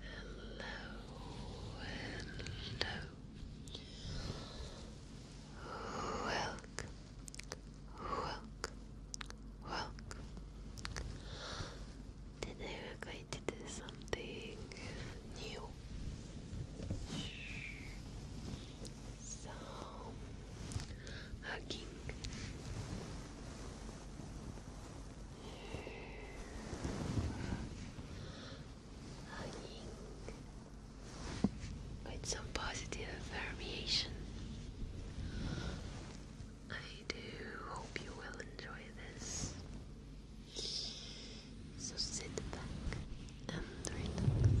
Hello, hello. Welcome, welcome, welcome. Today we're going to do something new. So, hugging hugging with some positive affirmation. I do hope you will enjoy this. So sit back and relax.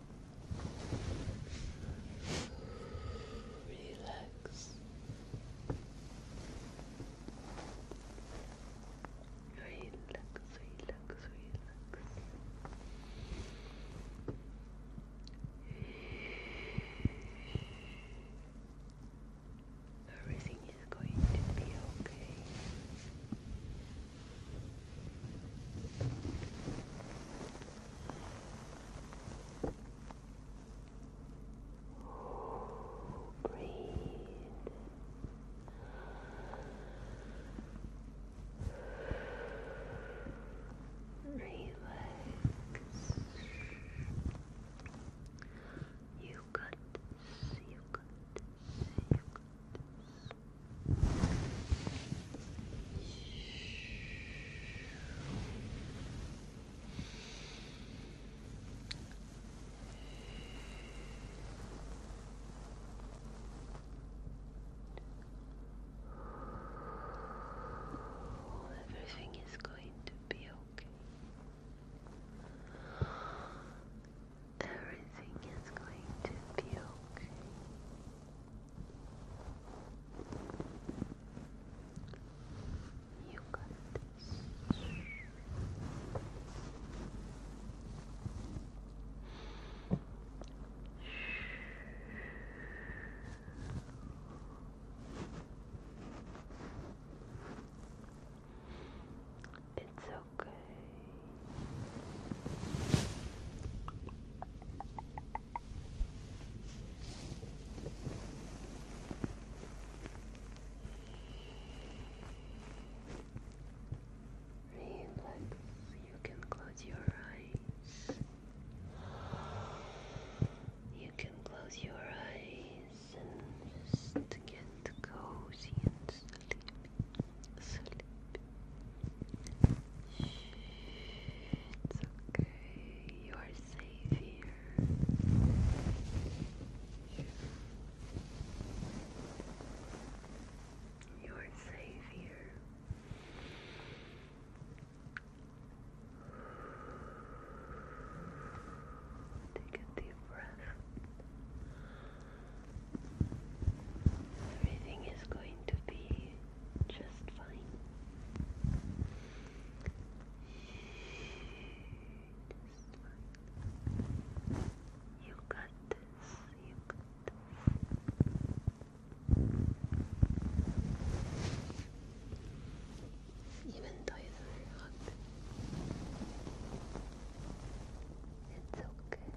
Relax. Relax, relax, relax. Everything is going to be okay. Breathe. Relax. You got this. You got this. You got this. Everything is going to be okay. Everything is going to be okay. You got this. It's okay. Relax, you can close your eyes. You can close your eyes and get cozy and sleepy. Sleepy it's okay. You are safe here. You are safe here. Take a deep breath. Everything is going to be just fine. Just fine. You got this. You got this. Even though it's very hot, it's okay.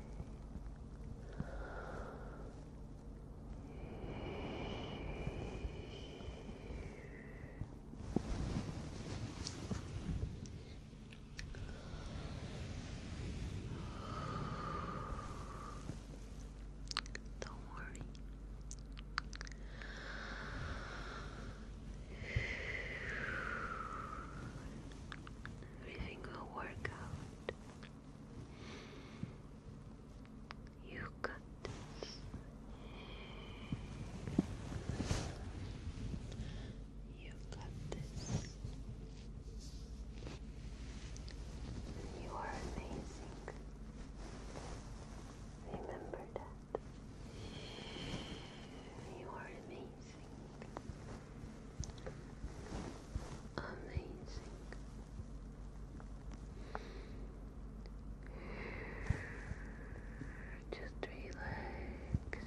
Don't worry. Everything will work out. You got this. You got this. You are amazing. Remember that. You are amazing. Amazing. Just relax.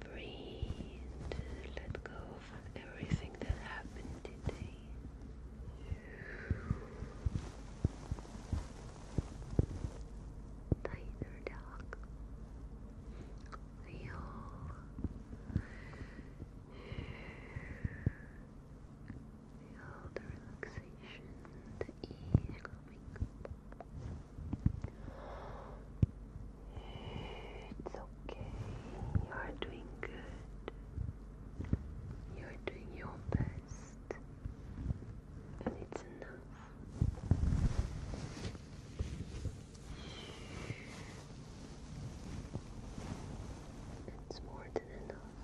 Breathe. Let go of everything that happened today. Tiger dog. Feel Feel the relaxation, the coming It's okay. You are doing good. You are doing your best. And it's enough. It's more than enough.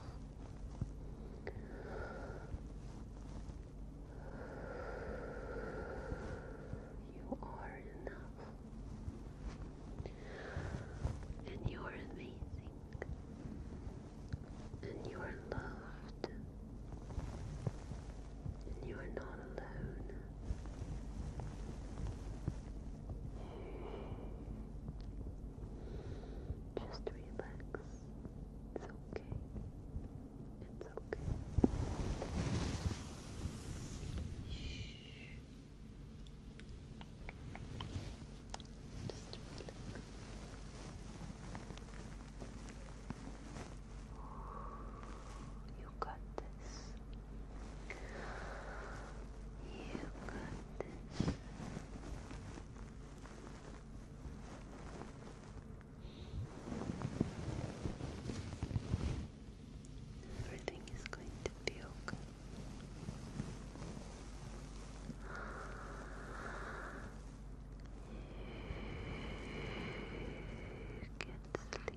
You are enough. And you are amazing. And you are loved. And you are not alone. Just relax. It's okay. It's okay. Shh. Just relax. You got this. You got this. Everything is going to be okay. You can sleep.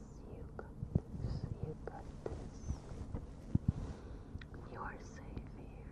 You got this. You got this. You are safe here.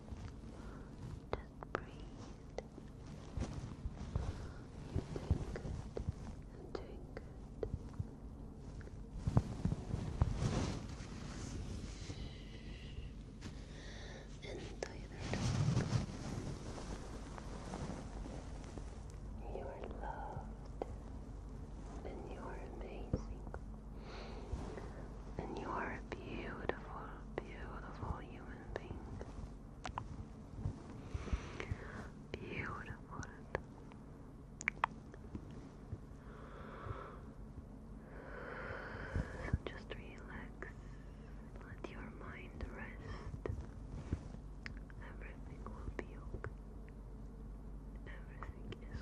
Just breathe. You're good. I'm good. And the other You are loved and you are amazing. And you are a beautiful, beautiful human being. Beautiful. So just relax. Let your mind rest. Everything will be okay. Everything is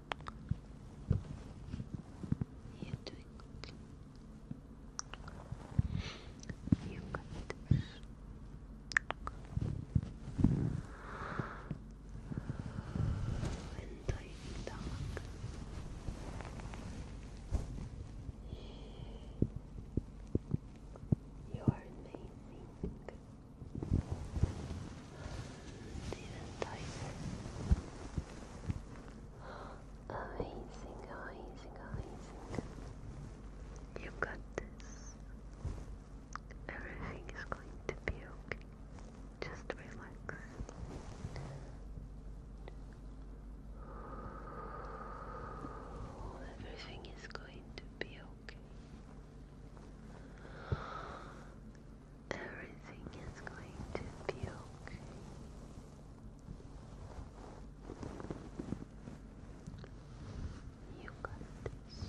You're doing You got this. Enjoy the dog. You are amazing even tighter. Amazing, amazing, amazing. You've got this. Everything is going to be okay. Just relax. Everything is going to be okay. Everything is going to be okay. You got this.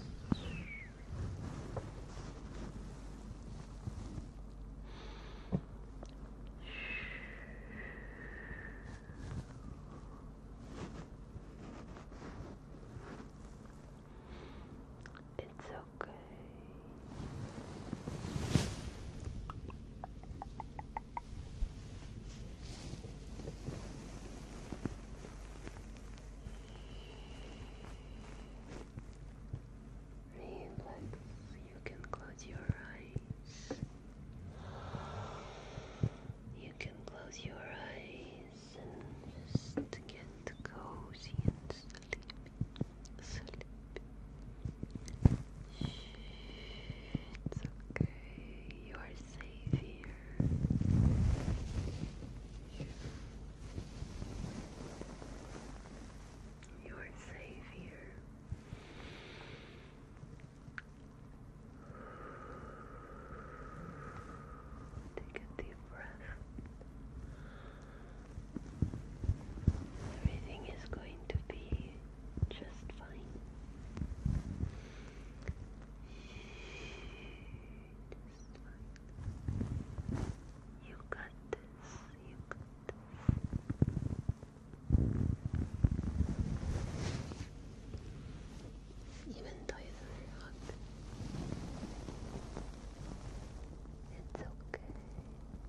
It's okay. Relax, you can close your eyes. You can close your eyes and just get cozy and it's okay. You are safe here. You are safe Take a deep breath. Everything is going to be just fine. You got this. You got this. Even though it's okay. It's okay.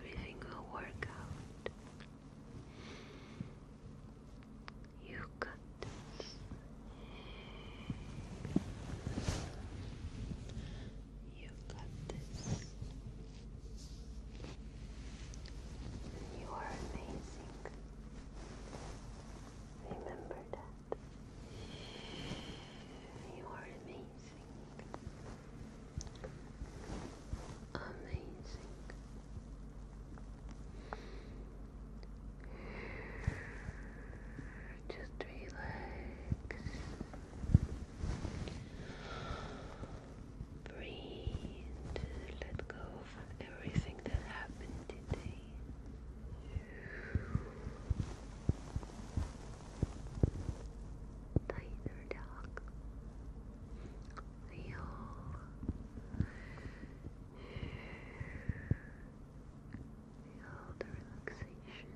every single workout. You got this. You got this. You are amazing. Remember that. You are amazing amazing. Just relax. Breathe. Let go of everything that happened today. Tiger dog. Leo. Feel the relaxation,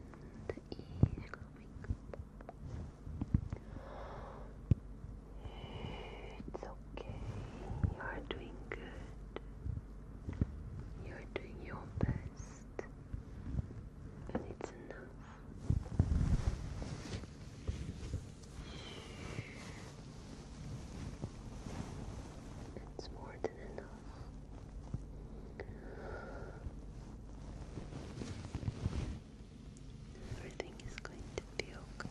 the ease coming. It's okay. You are doing good. You are doing your best, and it's enough. It's more than enough. Everything is going to be okay.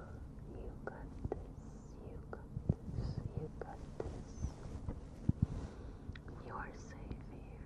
You got this, you got this, you got this. You are safe here.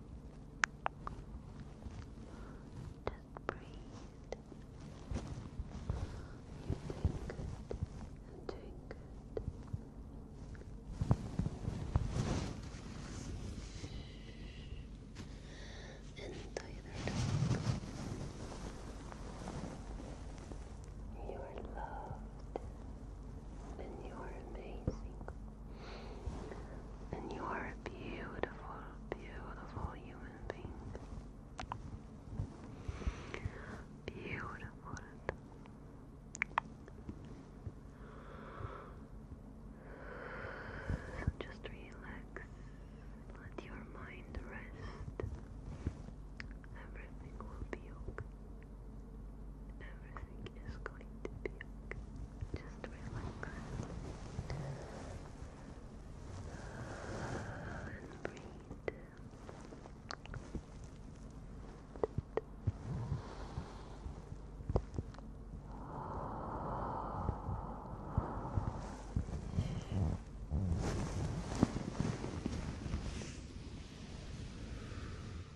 Just breathe. You're doing good. I'm And the other You are loved and you are amazing. And you are a beautiful, beautiful human being. Beautiful. So just relax. Let your mind rest. Everything will be okay. Everything is going to be okay. Just relax. And breathe.